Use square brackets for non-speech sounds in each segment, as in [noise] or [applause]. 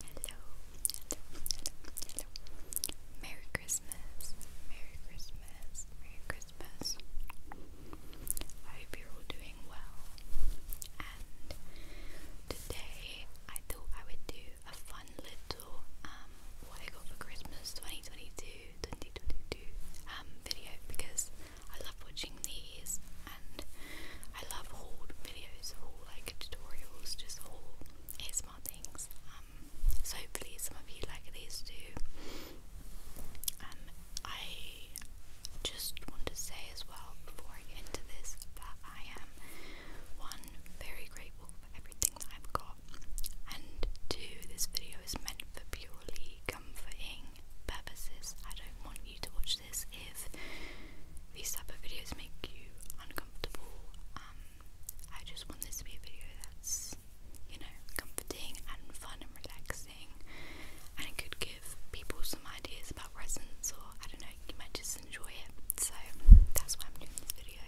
Hello, hello, hello, hello. Merry Christmas, Merry Christmas, Merry Christmas. I hope you're all doing well. And today I thought I would do a fun little um, what I got for Christmas 2022, 2022 um, video because I love watching these and I love haul videos, all like tutorials, just all ASMR things. Um, so hopefully some of you like these too. I just want to say as well before I get into this that I am one very grateful for everything that I've got, and two, this video is meant for purely comforting purposes. I don't want you to watch this if these type of videos make you uncomfortable. Um, I just want this to be a video that's, you know, comforting and fun and relaxing, and it could give people some ideas about resins, or I don't know, you might just enjoy it. So that's why I'm doing this video,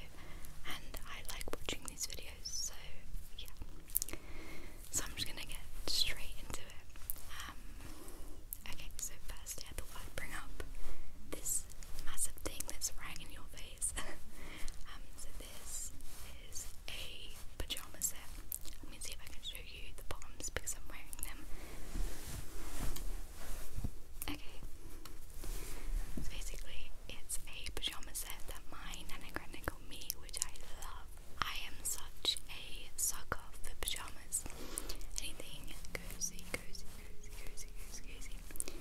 and I like watching these videos. So yeah, so I'm just gonna get straight into it. Um, Okay, so first I had the word bring up this massive thing that's right in your face. [laughs] Um, so this is a pajama set. Let me see if I can show you the bottoms because I'm wearing them. Okay, so basically it's a pajama set that my nana granny got me, which I love. I am such a sucker for pajamas. Anything cozy, cozy, cozy, cozy, cozy, cozy.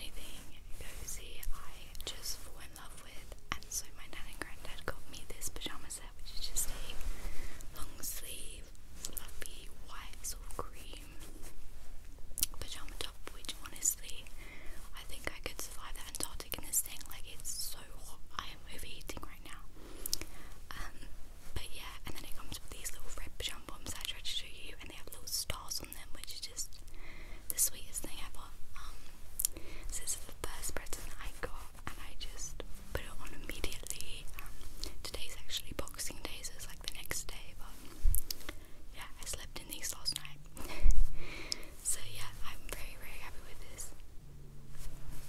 Anything cozy I just fall in love with. And so my nan and granddad got me this pyjama set, which is just a long sleeve, fluffy, white, sort of cream pyjama top, which honestly, I think I could survive the Antarctic in this thing. Like, it's so hot. I am overheating right now. Um, but yeah, and then it comes with these little red pajama bombs I tried to show you, and they have little stars on them, which is just the sweetest thing ever. Um, this is the first present I got, and I just put it on immediately. Um, today's actually Boxing Day, so it's like the next day, but yeah, I slept in these last night. [laughs] so yeah, I'm very, very happy with this.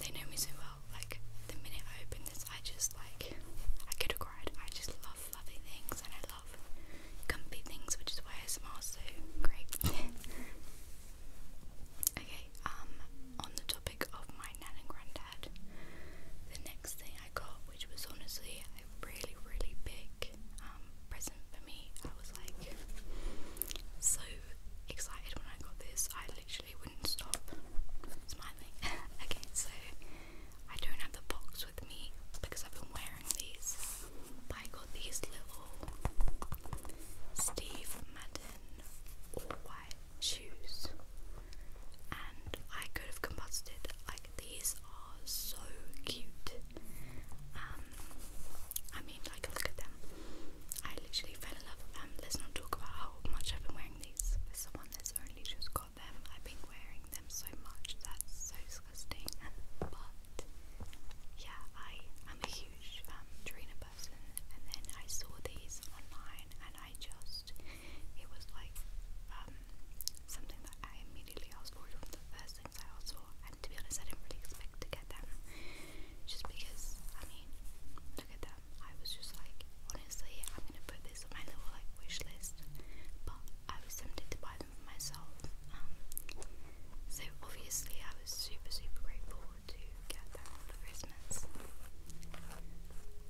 They know me so well. Like the minute I open this. I just like I could have cried. I just love lovely things and I love comfy things, which is why ASMR is so great. [laughs] okay, um, on the topic of my nan and granddad, the next thing I got, which was honestly a really, really big um present for me, I was like so excited when I got this. I literally wouldn't stop smiling. [laughs] okay, so I don't have the box with me because I've been wearing these. I got these little Steve Madden all white shoes. And I could have combusted. Like these are so cute. Um I mean like look at them. I literally fell in love with them. Um, let's not talk about how much I've been wearing these with someone that's only just got them. I've been wearing them so much. That's so disgusting. But yeah, I am a huge um, Trina person, and then I saw these online, and I just it was like um, something that I immediately asked for. One of the first things I asked for, and to be honest, I didn't really expect to get them, just because I mean, look at them. I was just like, honestly, I'm gonna put this my little like wish list, but I was tempted to buy them for myself. Um, so obviously I was super super grateful to get them for Christmas.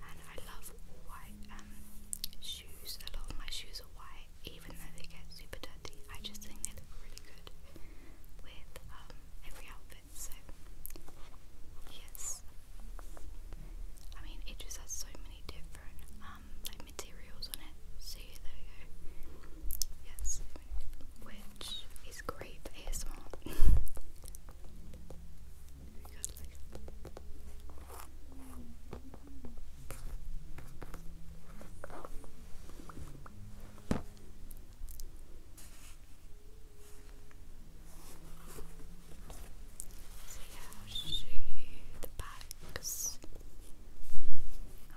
And I love white um, shoes. A lot of my shoes are white, even though they get super dirty. I just think they look really good with um, every outfit. So yes, I mean, it just has so many different um, like materials on it. So yeah, there you Yes, which is great for ASMR. [laughs] So yeah, i the backs.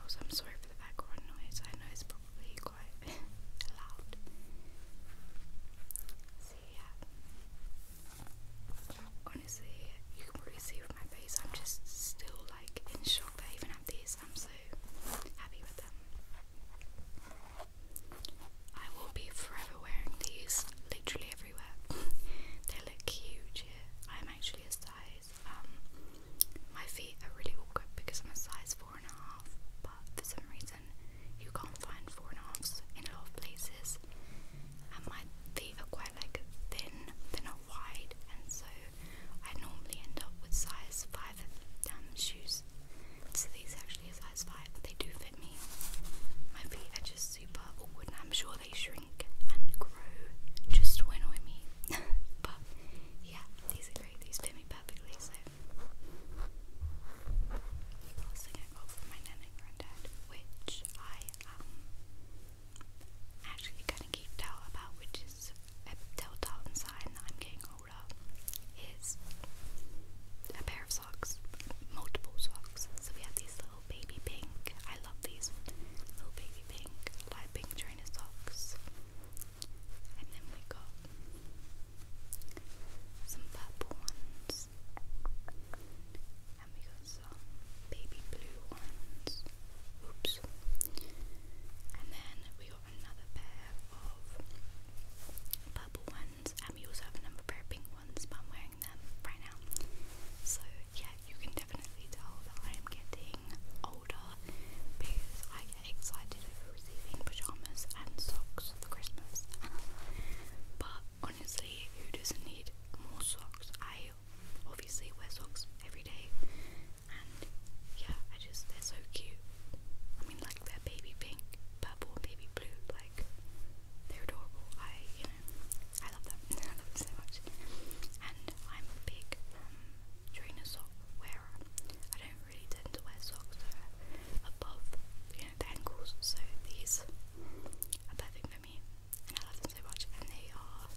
Also, I'm sorry for the background noise. I know it's probably quite loud. So yeah, honestly, you can probably see with my face. I'm just still like in shock that I even have these. I'm so happy with them. I will be forever wearing these. Literally, if everywhere. they look huge here. I'm actually a size. Um, my feet are really awkward because I'm a size four and a half, but for some reason you can't find four and a halfs in a lot of places. And my feet are quite like thin; they're not wide, and so I normally end up with size five um, shoes. So these are actually a size five, but they do fit me. My feet are just super awkward and I'm sure they shrink and grow just to annoy me. but yeah, these fit me perfectly, so last thing I got my nan and granddad, which I um actually kinda geeked about, which is a telltale sign that I'm getting older is a pair of socks, multiple socks. So we had these little baby pink. I love these little baby pink, light pink trainer And then we got some purple ones. And we got some baby blue ones. Oops. And then we got another pair of purple ones ones. Um, also have a number of pair of pink ones, but I'm wearing them right now. So yeah, you can definitely tell that I am getting older because I get excited over receiving pajamas and socks for Christmas. [laughs] but honestly, who doesn't need more socks? I obviously wear socks every day, and yeah, I just they're so cute. I mean, like they baby pink, purple, baby blue, like they're adorable. I you I love them. [laughs] I love them so much. And I'm a big um, trainer sock wearer. I don't really tend to wear socks above, you know, the ankles. So these are perfect for me, I love them so much. And they are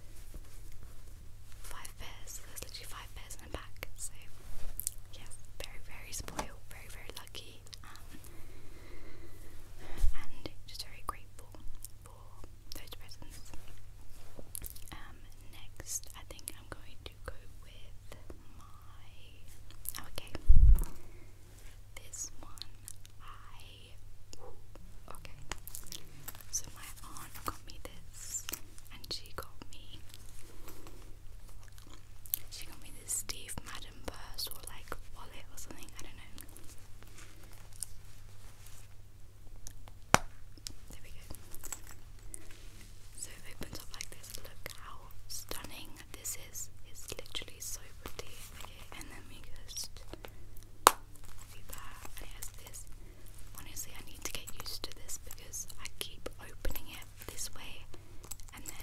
five pairs. There's literally five pairs in a pack. So yes, very very spoiled, very very lucky. Um, and just very grateful for those presents. Um, next, I think I'm going to go with my. Oh, okay. This one, I. okay. So, my aunt got me this, and she got me. She got me this Steve Madden or like wallet or something, I don't know. There we go. So it opens up like this. Look how stunning this is. It's literally so pretty. and then we just leave that. And it this. Honestly, I need to get used to this because I keep opening it this way and then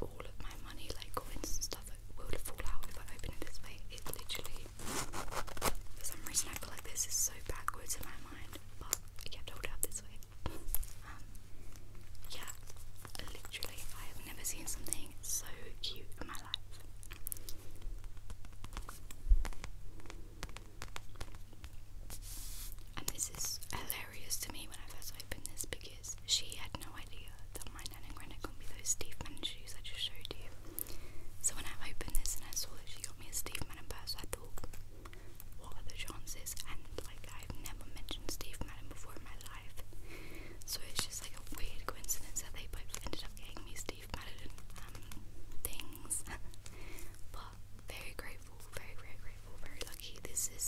all of my money, like coins and stuff, will fall out if I open it this way. It literally, for some reason, I feel like this is so backwards in my mind, but I kept hold out this way. Um, yeah, literally, I have never seen something so cute in my life. And this is hilarious hilarious to me when I first opened this because she had no idea that my nanogranite could be those Steve Madden shoes I just showed you. So when I opened this and I saw that she got me a Steve Madden purse, I thought, what are the chances? And like I've never mentioned Steve Madden before in my life. So it's just like a weird coincidence that they both ended up getting me Steve Madden um, things. [laughs] but very grateful, very, very grateful, very lucky. This is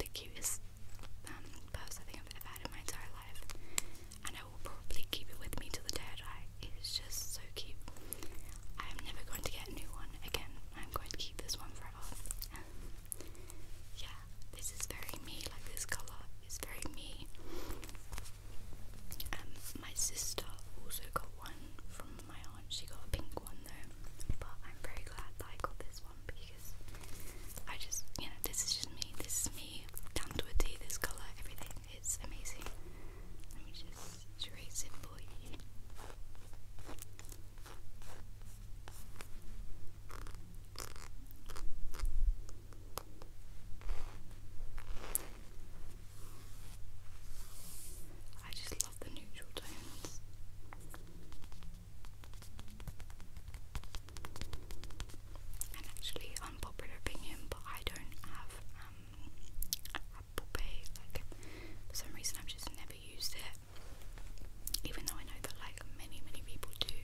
the cutest um, purse I think I've ever had in my entire life, and I will probably keep it with me till the day I die. It is just so cute. I am never going to get a new one again. I'm going to keep this one forever. yeah, this is very me. Like this color is very me. Um, my sister also got one from my aunt. She got a pink one though, but I'm very glad that I got this problem because I just, you know, this is just me. This is me down to a T. This color, everything is amazing. Let me just erase it for you. I just love the neutral tones. And actually, unpopular opinion, but I don't have um, Apple Pay. Like for some reason, I've just never used it, even though I know that like many, many people do.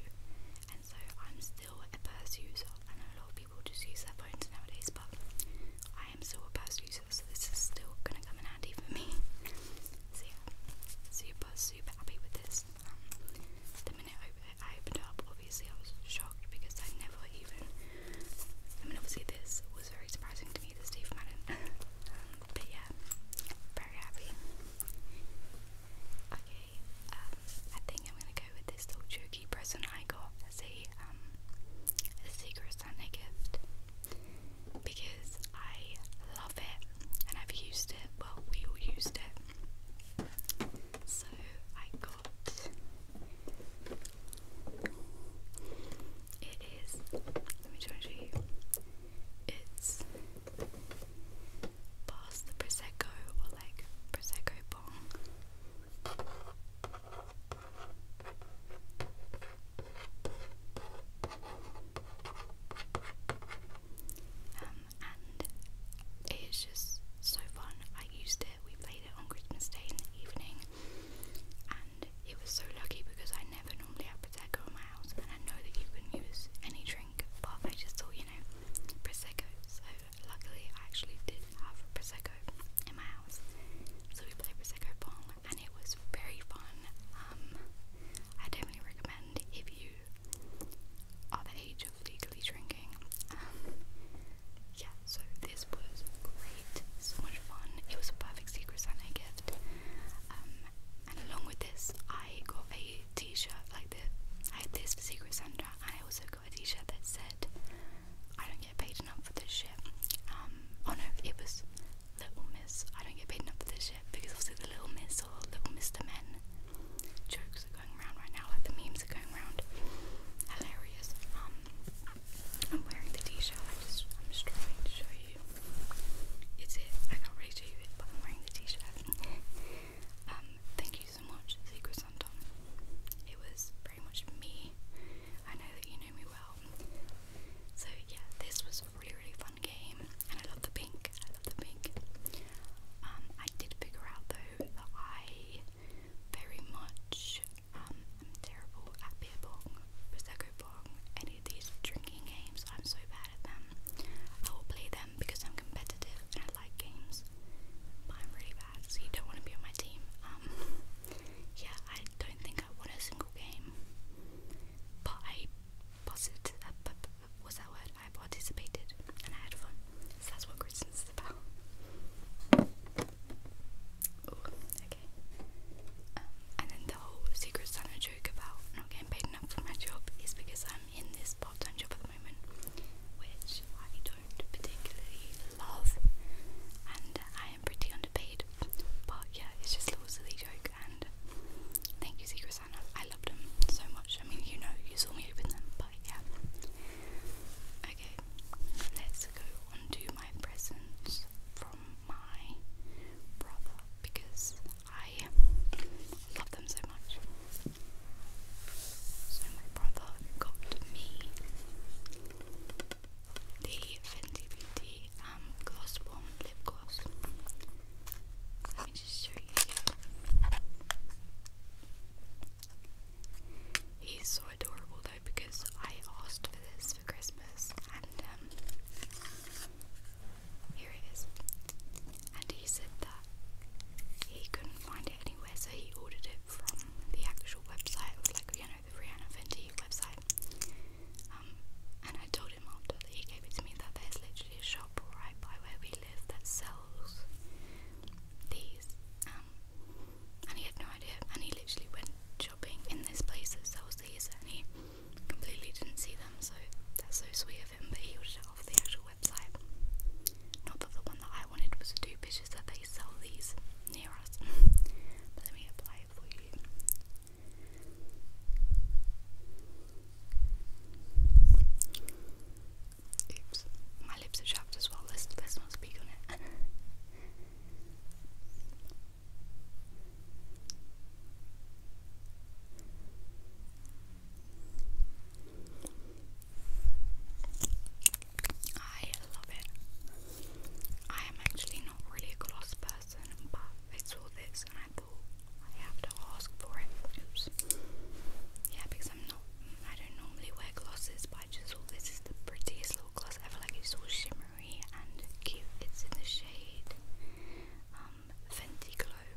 And so I'm still a purse user. I know a lot of people just use their phones nowadays, but I am still a purse user, so this is still gonna come in handy for me. [laughs] So yeah, super I was super happy with this. Um, the minute I, opened it obviously I was shocked because I never even. I mean, obviously this was very surprising to me, the Steve Madden. [laughs] Um, but yeah, very happy. Okay, um, I think I'm gonna go with this little jokey present I got as a um a Secret Santa gift because I love it and I've used it. Well, we all used it. So I got it is. Let me try show you. It's past the prosecco or like prosecco bong. Um, it's just so fun. I used it, we played it on Christmas Day in the evening, and it was so lucky because I never normally have Prosecco in my house, and I know that you can use any drink, but I just thought, you know, Prosecco. So, luckily, I actually did have Prosecco in my house. So, we played Prosecco Pong, and it was very fun. Um, I definitely recommend if you are the age of legally drinking. Um, so this was great, so much fun. It was a perfect Secret Santa gift. Um, and along with this, I got a t-shirt like this. I had this for Secret Santa, and I also got a t-shirt that said, I don't get paid enough for this shit. Um, oh no, it was Little Miss. I don't get paid enough for this shit because obviously the Little Miss or Little Mr. Men jokes are going around right now, like the memes are going around. Hilarious. Um, I'm wearing the t-shirt. I just, I'm just trying to show you. It's it. I can't really show you it, but I'm wearing the t-shirt. [laughs] um, thank you so much, Secret Santa. It was pretty much me. I know that you know me well. So yeah, this was really really fun game, and I love the pink. I love the pink. Um, I did figure out though that I very much um, am terrible at beer pong, prosecco pong, any of these drinking games. I'm so bad at them. I will play them because I'm competitive and like games, but I'm really bad. So you don't want to be on my team. Um, [laughs] yeah, I don't think I won a single game, but I buzzed was that word? I participated and I had fun. So that's what Christmas is about. okay. Um, and then the whole Secret Santa joke about not getting paid enough for my job is because I'm in this part time job at the moment, which I don't particularly love, and I am pretty underpaid. But yeah, it's just a little joke and thank you Secret Santa. I loved them so much. I mean, you know, you saw me open them, but yeah. Okay, let's go on my presents from my brother because I love them so much. So my brother got me the Fenty Beauty um, Gloss Bomb Lip Gloss. He's so adorable though because I asked for this for Christmas and um, here it is. And he said that he couldn't find it anywhere so he ordered it from the actual website of like you know the Rihanna Fenty website. Um, and I told him after that he gave it to me that there's literally a shop right by where we live that sells these. Um, and he had no idea. And he literally went shopping in this place that sells these, and he completely didn't see them. So that's so sweet of him. But he ordered it off the actual website. Not that the one that I wanted was two pictures that they sell these near us. [laughs] but let me apply it for you. Oops, my lips are chapped as well. Let's, let not speak on it. I love it. I am actually not really a gloss person, but it's all this and I I have to ask for it. Yeah, because I'm not. I don't normally wear glasses, but I just thought this is the prettiest little gloss ever. Like it's all shimmery and cute. It's in the shade um, Fenty Glow.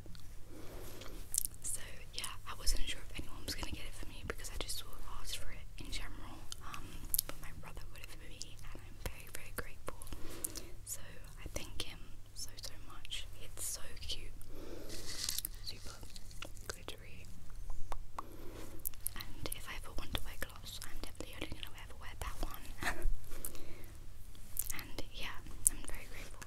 So yeah, I wasn't sure if anyone was gonna get it for me because I just sort of for it in general. Um, but my brother would have for me, and I'm very very grateful. So I thank him so so much. It's so cute. Super glittery. And if I ever want to wear gloss, I'm definitely only gonna ever wear that one. [laughs] and yeah, I'm very grateful.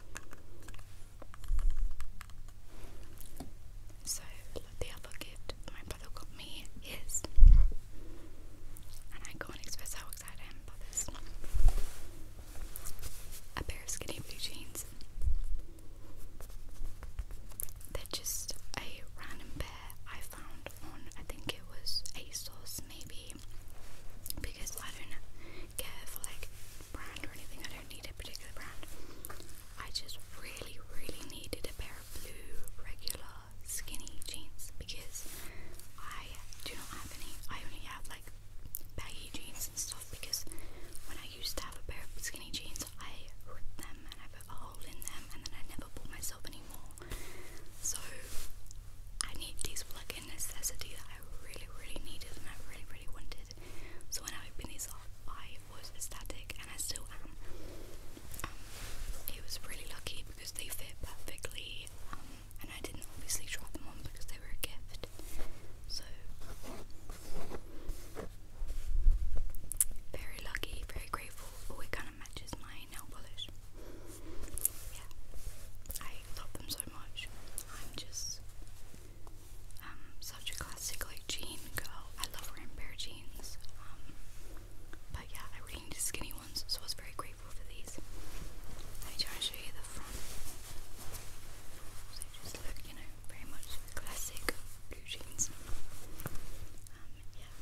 So the other gift my brother got me is, and I can't express how a pair of skinny blue jeans. They're just a random pair I found on, I think it was ASOS maybe. Because I don't care for like brand or anything, I don't need a particular brand. I just really, really needed a pair of blue, regular, skinny jeans because I do not have any. I only have like baggy jeans and stuff because when I used to have a pair of skinny jeans, I ripped them and I put a hole in them, and then I never bought myself anymore. So I need these plug-in necessity that I really, really needed and I really, really wanted. So when I opened these up, I was ecstatic, and I still am. Um, it was really lucky because they fit perfectly. Um, and I didn't obviously try them on because they were a gift. So very lucky, very grateful. Oh, it kind of matches my nail polish. Yeah, I love them so much. I'm just um such a classic like jean girl. I love wearing pair of jeans. Um, but yeah, I really needed skinny ones, so I was very grateful grateful Let me try and show you the front. So just look, you know, very much classic blue Um, yeah,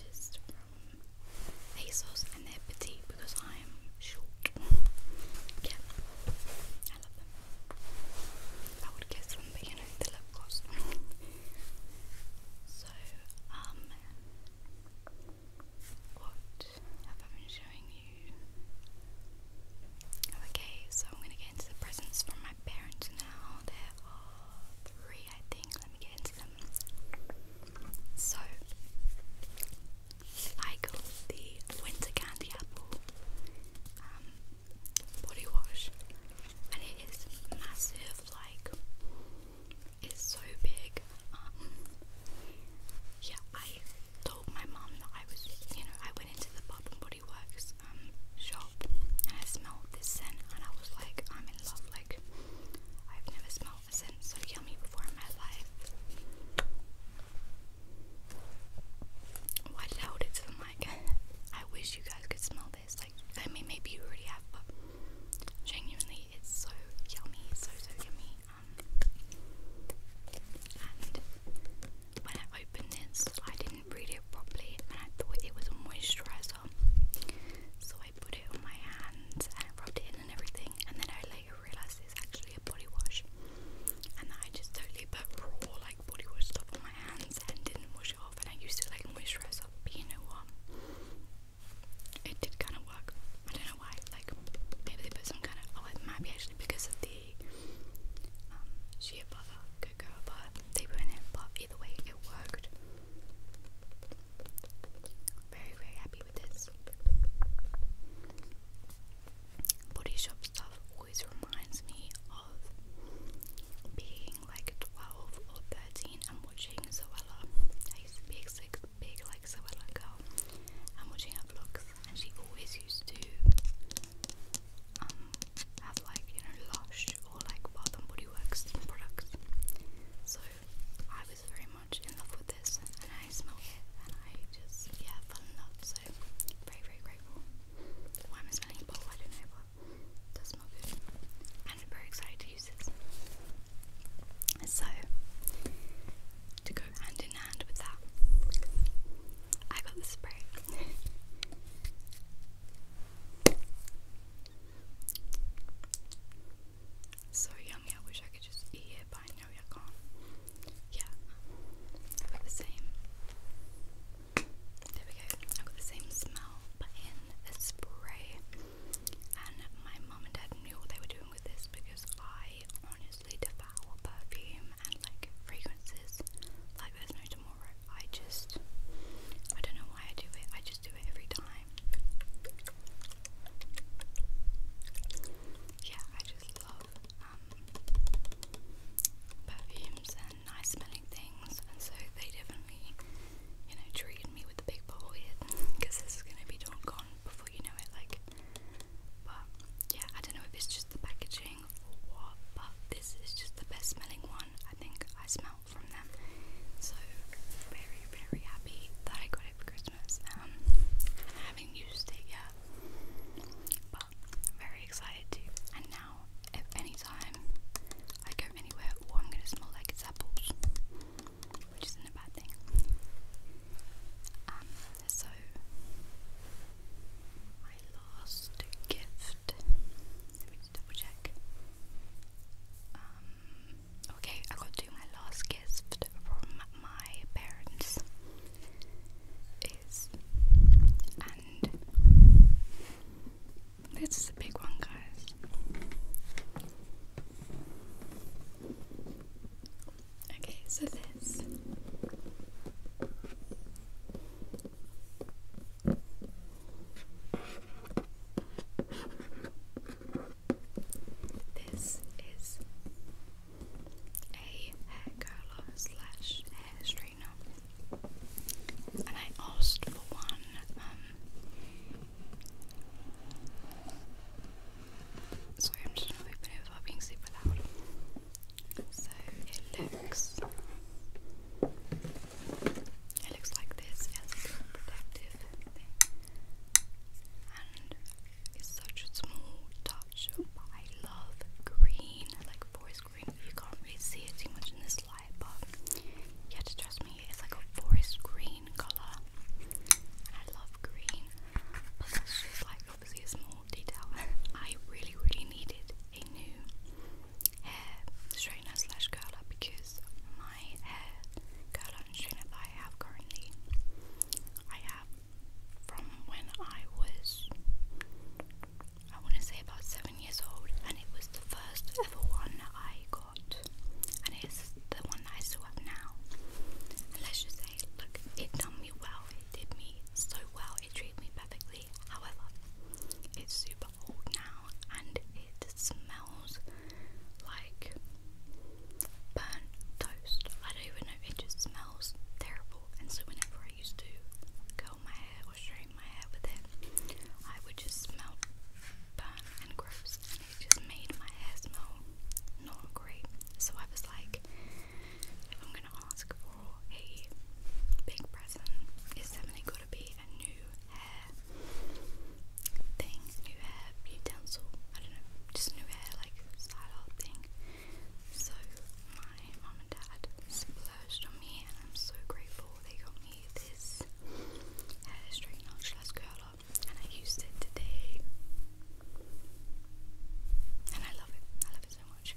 just from um, ASOS and they petite because I'm short. yeah, I love them. I would guess them, but you know, the lip gloss. [laughs] so, um, what I Okay, so I'm gonna get into the presents from my parents now. There are three, I think. Let me get into them. So, I got the winter candy apple um, body wash, and it is massive, like it's so big. Um, yeah, I told my mum that I was, you know, I went into the Bath and Body Works um, shop and I smelled this scent and I was like, I'm in love. Like, I've never smelled a scent so yummy before in my life. Why did the mic? [laughs] I wish you guys could smell this. Like, I mean, maybe you already have, but genuinely, it's so yummy, so so yummy and when I opened this, I didn't read it properly, and I thought it was a moisturizer. So I put it on my hands and I rubbed it in and everything, and then I later realised it's actually a body wash, and that I just totally put raw like body wash stuff on my hands and didn't wash it off, and I used it like a moisturizer. But you know what? it did kind of work. I don't know why. Like maybe they put some kind of oh, it might be actually because of the um, shea butter, cocoa they put in it. But either way, it worked. Very very happy with this. Body shop stuff always reminds me of being like twelve or thirteen and watching Zoella. I used to be like big like Zoella girl and watching her vlogs and she always used to um have like you know Lush or like Bath and Body Works products so I was very much in love with this and I smelled it and I just yeah fell in love so very very grateful why am I smelling a bowl I don't know but does smell good I'm very excited to use this so to go hand in hand with that. I got the spray. so yummy, I wish I could just eat it, but I know I can't. Yeah, got the same. There we go. I got the same smell, but in a spray. And my mum and dad knew what they were doing with this because I honestly devour perfume and like fragrances like there's no tomorrow. I just I don't know why I do it. I just do it every time. Yeah, I just love um, perfumes and nice smelling things and so they definitely you know treated me with the big bowl [laughs] here because this is gonna be gone before you know it, like. But yeah, I don't know if it's just the packaging or what, but this is just the best smelling one I think I smell from them. So very, very happy that I got it for Christmas. Um, haven't used it yet, but very excited to. And now, if any time I go anywhere, oh, I'm gonna smell like apples which isn't a bad thing. Um, so my last gift. Um, okay, I got to my last gift from my parents is and this is a big one guys Okay, so this this is a hair curler slash hair straightener, and I asked for one. Um, Sorry, I'm just gonna open it without being super loud. So it looks it looks like this, it has a little protective And it's such a small touch, but I love green, like forest green. You can't really see it too much in this light, but you have to trust me, it's like a forest green colour. I love green like obviously a small detail. [laughs] I really, really needed a new hair straightener slash curler because my hair curler and straightener that I have currently, I have from when I was, I want to say about seven years old, and it was the first ever one I got, and it's the one that I still have now. let's just look, it done me well, it did me so well, it treated me perfectly. However, it's super old now and it smells like burnt toast. I don't even know, it just smells terrible. And so, whenever I used to curl my hair or straighten my hair with it, I would just smell burnt and gross it just made my hair smell not great. So I was like, if I'm gonna ask for a big present, it's definitely gotta be a new hair thing, new hair utensil. I don't know, just new hair like style thing. So my mum and dad splurged on me, and I'm so grateful they got me this hair straightener slash curler and I used it today. And I love it. I love it so much.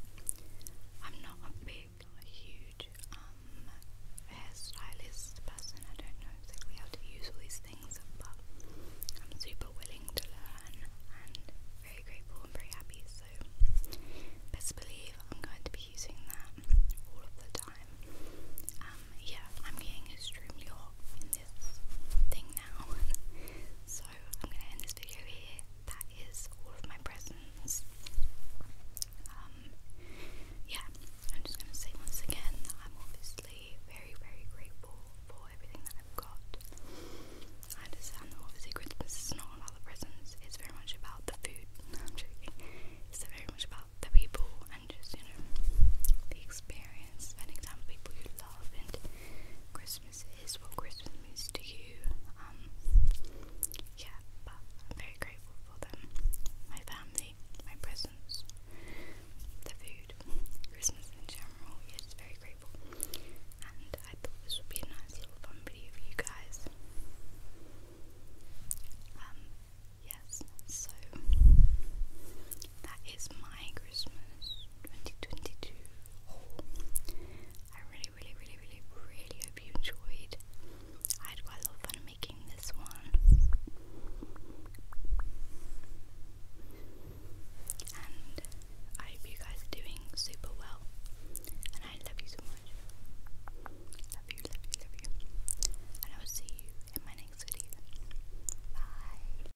I'm not a big, a huge um, hairstylist person. I don't know exactly how to use all these things, but I'm super willing to learn and very grateful and very happy. So, best believe I'm going to be using that all of the time. Um, yeah, I'm getting extremely hot this thing now. [laughs] so I'm gonna end this video here. That is all of my presents. Um, yeah, I'm just gonna say once again that I'm obviously very, very grateful for everything that I've got. I understand that obviously Christmas is not about the presents, it's very much about the food. [laughs] I'm joking. It's very much about the people and just, you know, the experience, spending time with people you love and Christmas is what Christmas means to you. Um, yeah, but I'm very grateful for them. My family, my presents, the food, Christmas in general. Yeah, very grateful. And I thought this would be a nice little fun video for you guys. Um, yes, so that is my Christmas 2022 I really, really, really, really, really hope you enjoyed. I had quite a lot of fun making this one. And I hope you guys are doing super well. And I love you so much. Love you, love you, love you. And I will see you in my next video. Bye.